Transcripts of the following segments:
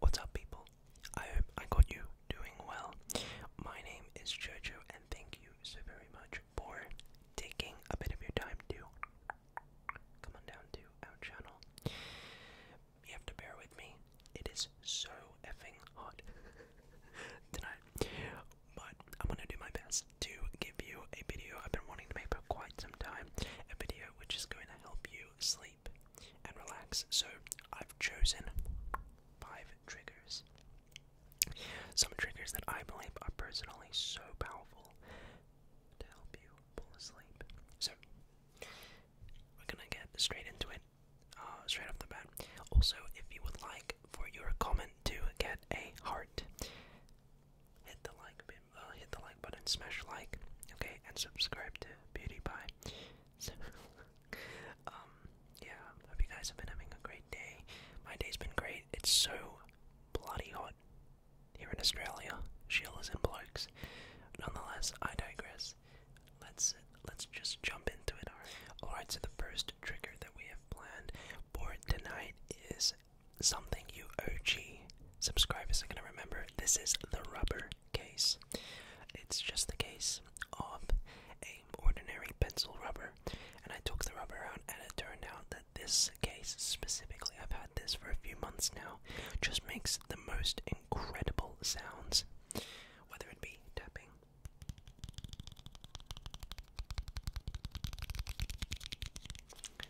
What's up, people? I hope I got you doing well. My name is Jojo, and thank you so very much for taking a bit of your time to come on down to our channel. You have to bear with me. It is so effing hot tonight. But I'm gonna do my best to give you a video I've been wanting to make for quite some time. A video which is going to help you sleep and relax. So I've chosen five triggers. Some triggers that I believe are personally so powerful to help you fall asleep. So we're gonna get straight into it, uh, straight off the bat. Also, if you would like for your comment to get a heart, hit the like, uh, hit the like button, smash like, okay, and subscribe to Beauty Pie. So, um, yeah, hope you guys have been having a great day. My day's been great. It's so bloody hot. Here in Australia, sheilas and blokes. Nonetheless, I digress. Let's let's just jump into it. All right, so the first trigger that we have planned for tonight is something you OG subscribers are gonna remember. This is the rubber case. It's just the case of a ordinary pencil rubber, and I took the rubber out and it turned out that this case specifically, I've had this for a few months now, just makes the most incredible sounds, whether it be tapping.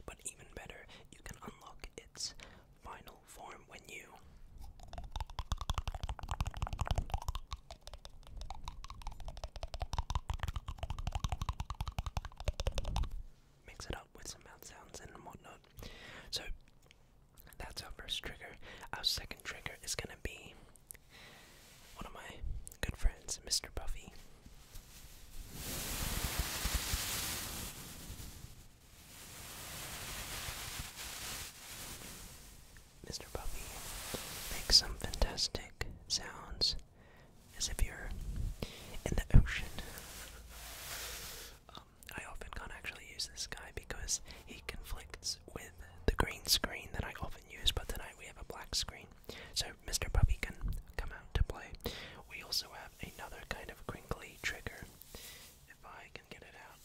But even better, you can unlock its final form when you mix it up with some mouth sounds and whatnot. So that's our first trigger. Our second trigger is gonna be one of my good friends, Mr. Buffy. Mr. Buffy makes some fantastic sounds as if you're in the ocean. Um, I often can't actually use this guy because he conflicts with the green screen that I often use, but tonight we have a black screen. So Mr. Puppy can come out to play. We also have another kind of crinkly trigger, if I can get it out.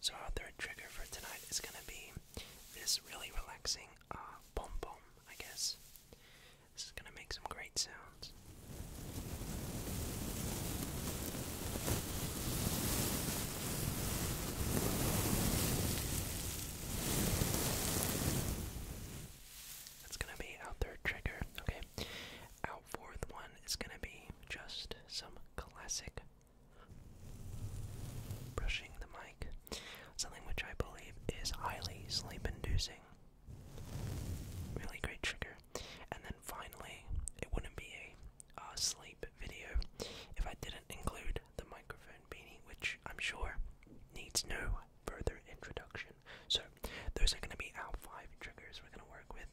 So our third trigger for tonight is going to be this really relaxing uh, pom pom, I guess. This is gonna make some great sounds. That's gonna be our third trigger, okay? Our fourth one is gonna be just some classic brushing the mic something which I believe is highly sleep inducing. Really great trigger. And then finally, it wouldn't be a uh, sleep video if I didn't include the microphone beanie, which I'm sure needs no further introduction. So, those are going to be our five triggers we're going to work with.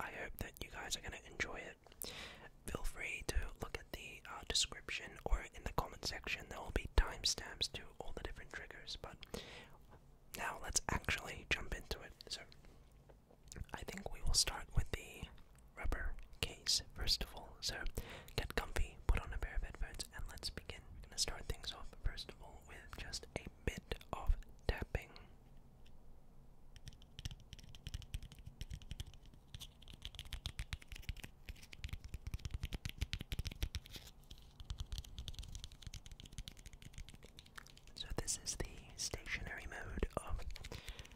I hope that you guys are going to enjoy it. Feel free to look at the uh, description or in the comment section. There will be timestamps to all the different triggers. But now let's actually jump into it. So I think we will start with the rubber case first of all. So get comfy, put on a pair of headphones, and let's begin. We're gonna start things off first of all with just a bit of tapping. So, this is the stationary mode of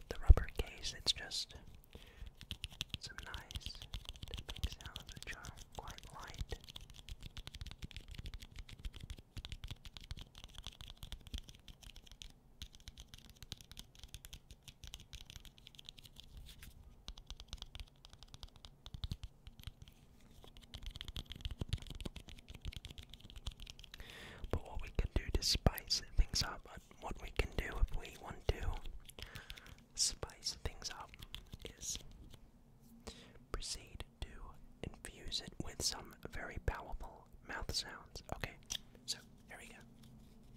the rubber case. It's just some nice sounds quite light. But what we can do to spice things up, uh, what we can do if we want to spice things up, is proceed to infuse it with some very powerful mouth sounds. Okay, so here we go.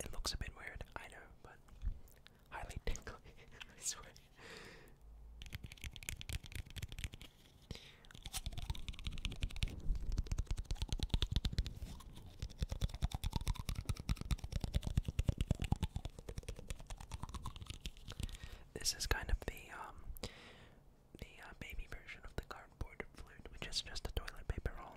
It looks a bit weird, I know, but highly tingly, I swear. This is kind of the um the uh, baby version of the cardboard flute, which is just a toilet paper roll.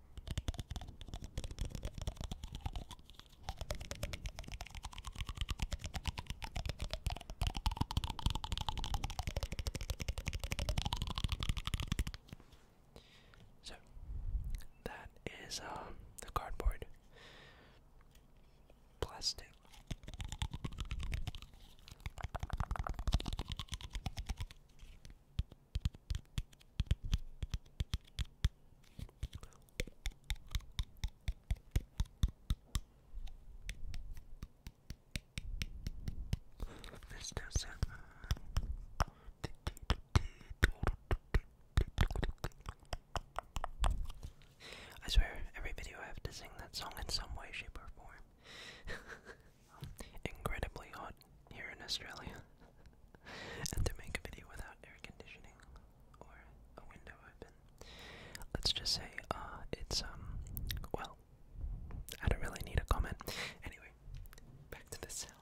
So that is um, the cardboard plastic. Mr. Seven. I swear, every video I have to sing that song in some way, shape, or form. incredibly hot here in Australia, and to make a video without air conditioning or a window open, let's just say uh, it's um well, I don't really need a comment. Anyway, back to the sound.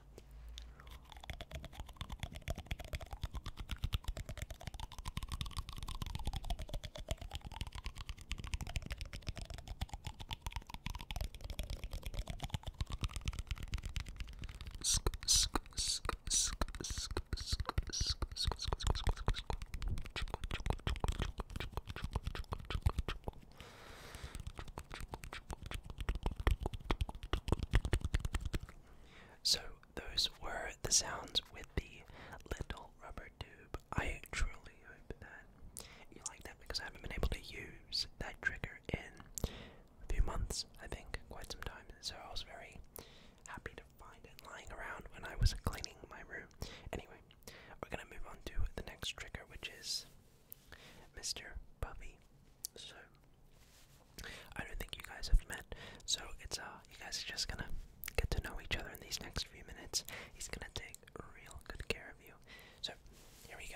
So, those were the sounds with the little rubber tube. I truly really hope that you like that because I haven't been able to use that trigger in a few months, I think, quite some time. So I was very happy to find it lying around when I was cleaning my room. Anyway, we're gonna move on to the next trigger, which is Mr. Puppy. So I don't think you guys have met, so it's uh you guys are just gonna get to know each other in these next few minutes. He's gonna take real good care of you. So, here we go.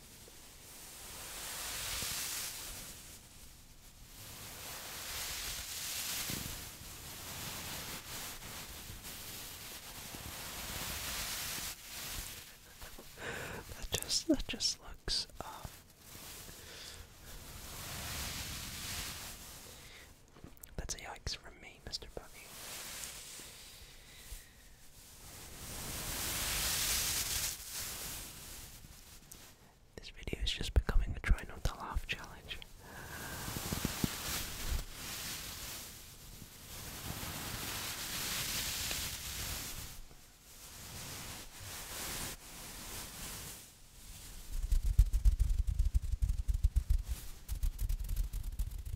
that just that just looks um, that's a yikes from me, Mr. Bunny. This video is just becoming a try not to laugh challenge.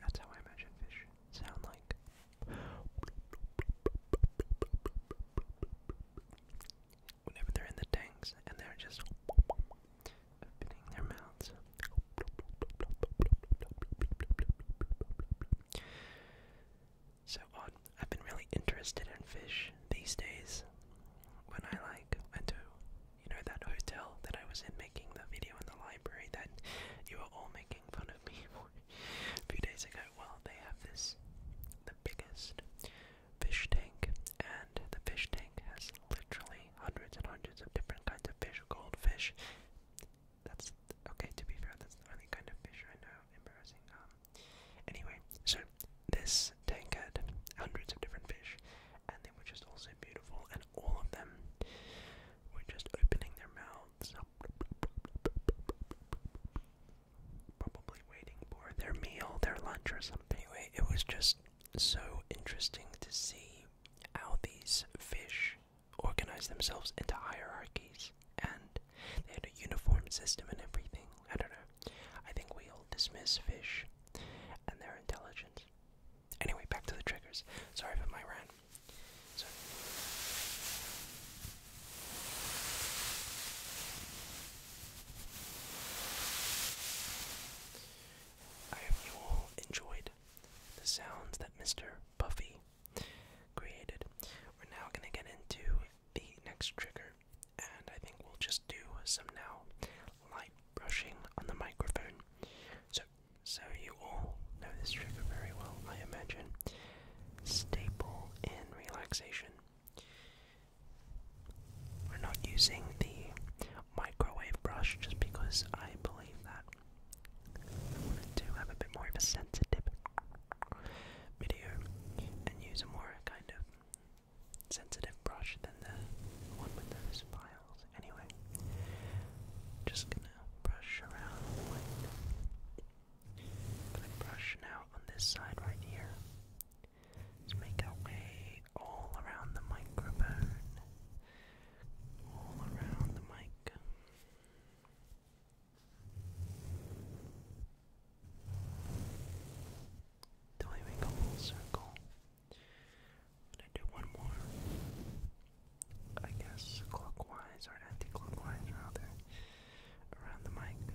That's how I imagine fish sound like. Whenever they're in the tanks and they're just so on, I've been really interested in fish these days. When I like went to, you know, that hotel that I was in making the video in the library that you were all making fun of me for a few days ago. Well, they have this, the biggest fish tank, and the fish tank has literally hundreds and hundreds of different kinds of fish, goldfish. That's okay. To be fair, that's the only kind of fish I know. Embarrassing. Um. Anyway, so this tank had hundreds of different fish, and they were just also beautiful, and all of them were just opening their mouths, probably waiting for their meal, their lunch, or something. Anyway, it was just so interesting to see how these fish organize themselves into hierarchies and they had a uniform system and everything. I don't know. I think we all dismiss fish and their intelligence. Anyway, back to the triggers. Sorry for my rant. So I hope you all enjoyed the sounds that Mr. Buffy created. We're now going to get into the next trigger, and I think we'll just do some now light brushing on the microphone. So, so you all know this trigger very well, I imagine. Staple in relaxation. We're not using the microwave brush just because I believe that I want to do have a bit more of a sensitive video and use a more kind of sensitive brush than the one with those files. Anyway, just gonna brush around like. I'm gonna brush now on this side right here. Let's make our way all around the microphone. All around the mic. Till we make a full circle. And I do one more. I guess clockwise or anti-clockwise around the mic.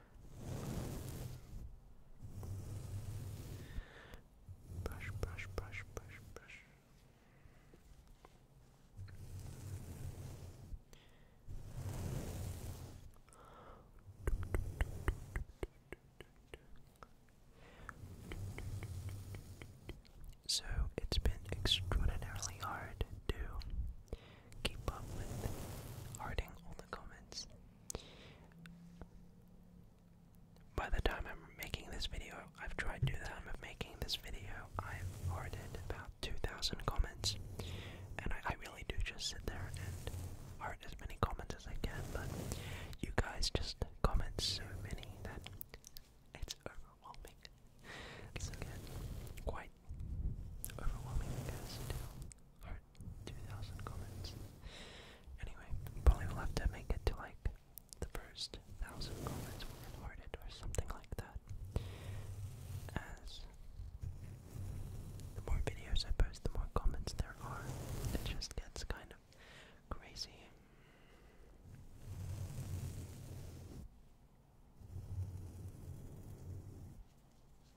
Brush, brush, So it's been extraordinarily hard to keep up with harding all the comments by the time I'm making this video, I've tried to do the time of making this video, I've already about 2,000 comments, and I, really do just sit there and heart as many comments as I can, but you guys just comment so many that it's overwhelming. It's again quite overwhelming, over 2,000 comments. Anyway, probably will have to make it to like the first 1,000 comments were recorded or something like that. As the more videos I post, the more comments there are. It just gets kind of crazy.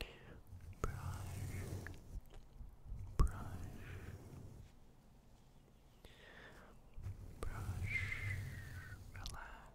Brush, brush, brush, relax,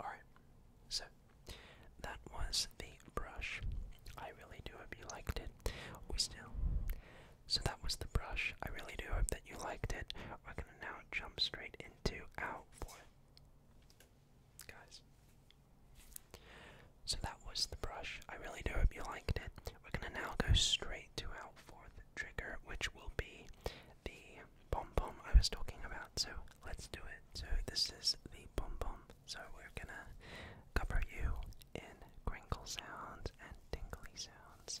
Alright, so that was the brush. I really do hope you liked it. We still. So that was the brush. I really do hope that you liked it. We're gonna now jump straight into out for Guys. So that was the brush. I really do hope you liked it. We're gonna now go straight to our fourth trigger, which will be the pom pom I was talking about. So let's do it. So this is the pom pom. So we're gonna cover you in crinkle sounds and tinkly sounds.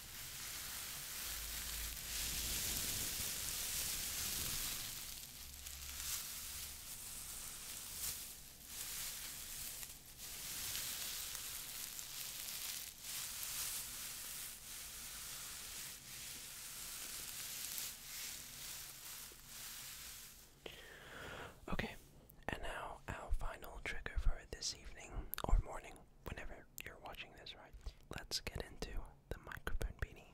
Okay, and now our final trigger for this evening or morning whenever you're watching this, right? Let's get into the microphone beanie.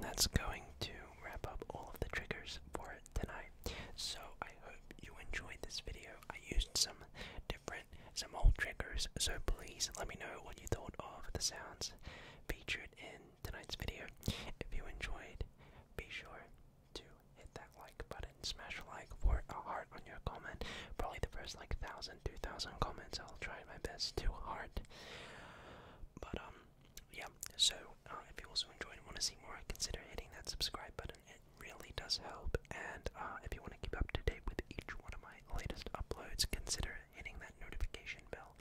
That's going to wrap up all of the triggers for tonight. So I hope you enjoyed this video. I used some different, some old triggers. So please let me know what you thought of the sounds featured in tonight's video. If you enjoyed, be sure to hit that like button, smash like for a heart on your comment. Probably the first like thousand, two thousand comments. I'll try my best to heart. But um, yeah. So uh, if you also enjoyed and want to see more, consider hitting that subscribe button really does help. And uh, if you want to keep up to date with each one of my latest uploads, consider hitting that notification bell.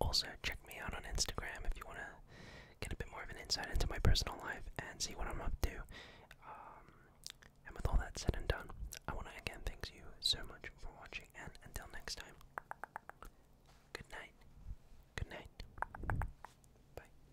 Also, check me out on Instagram if you want to get a bit more of an insight into my personal life and see what I'm up to. Um, and with all that said and done, I want to again thank you so much for watching, and until next time, good night, good night, bye.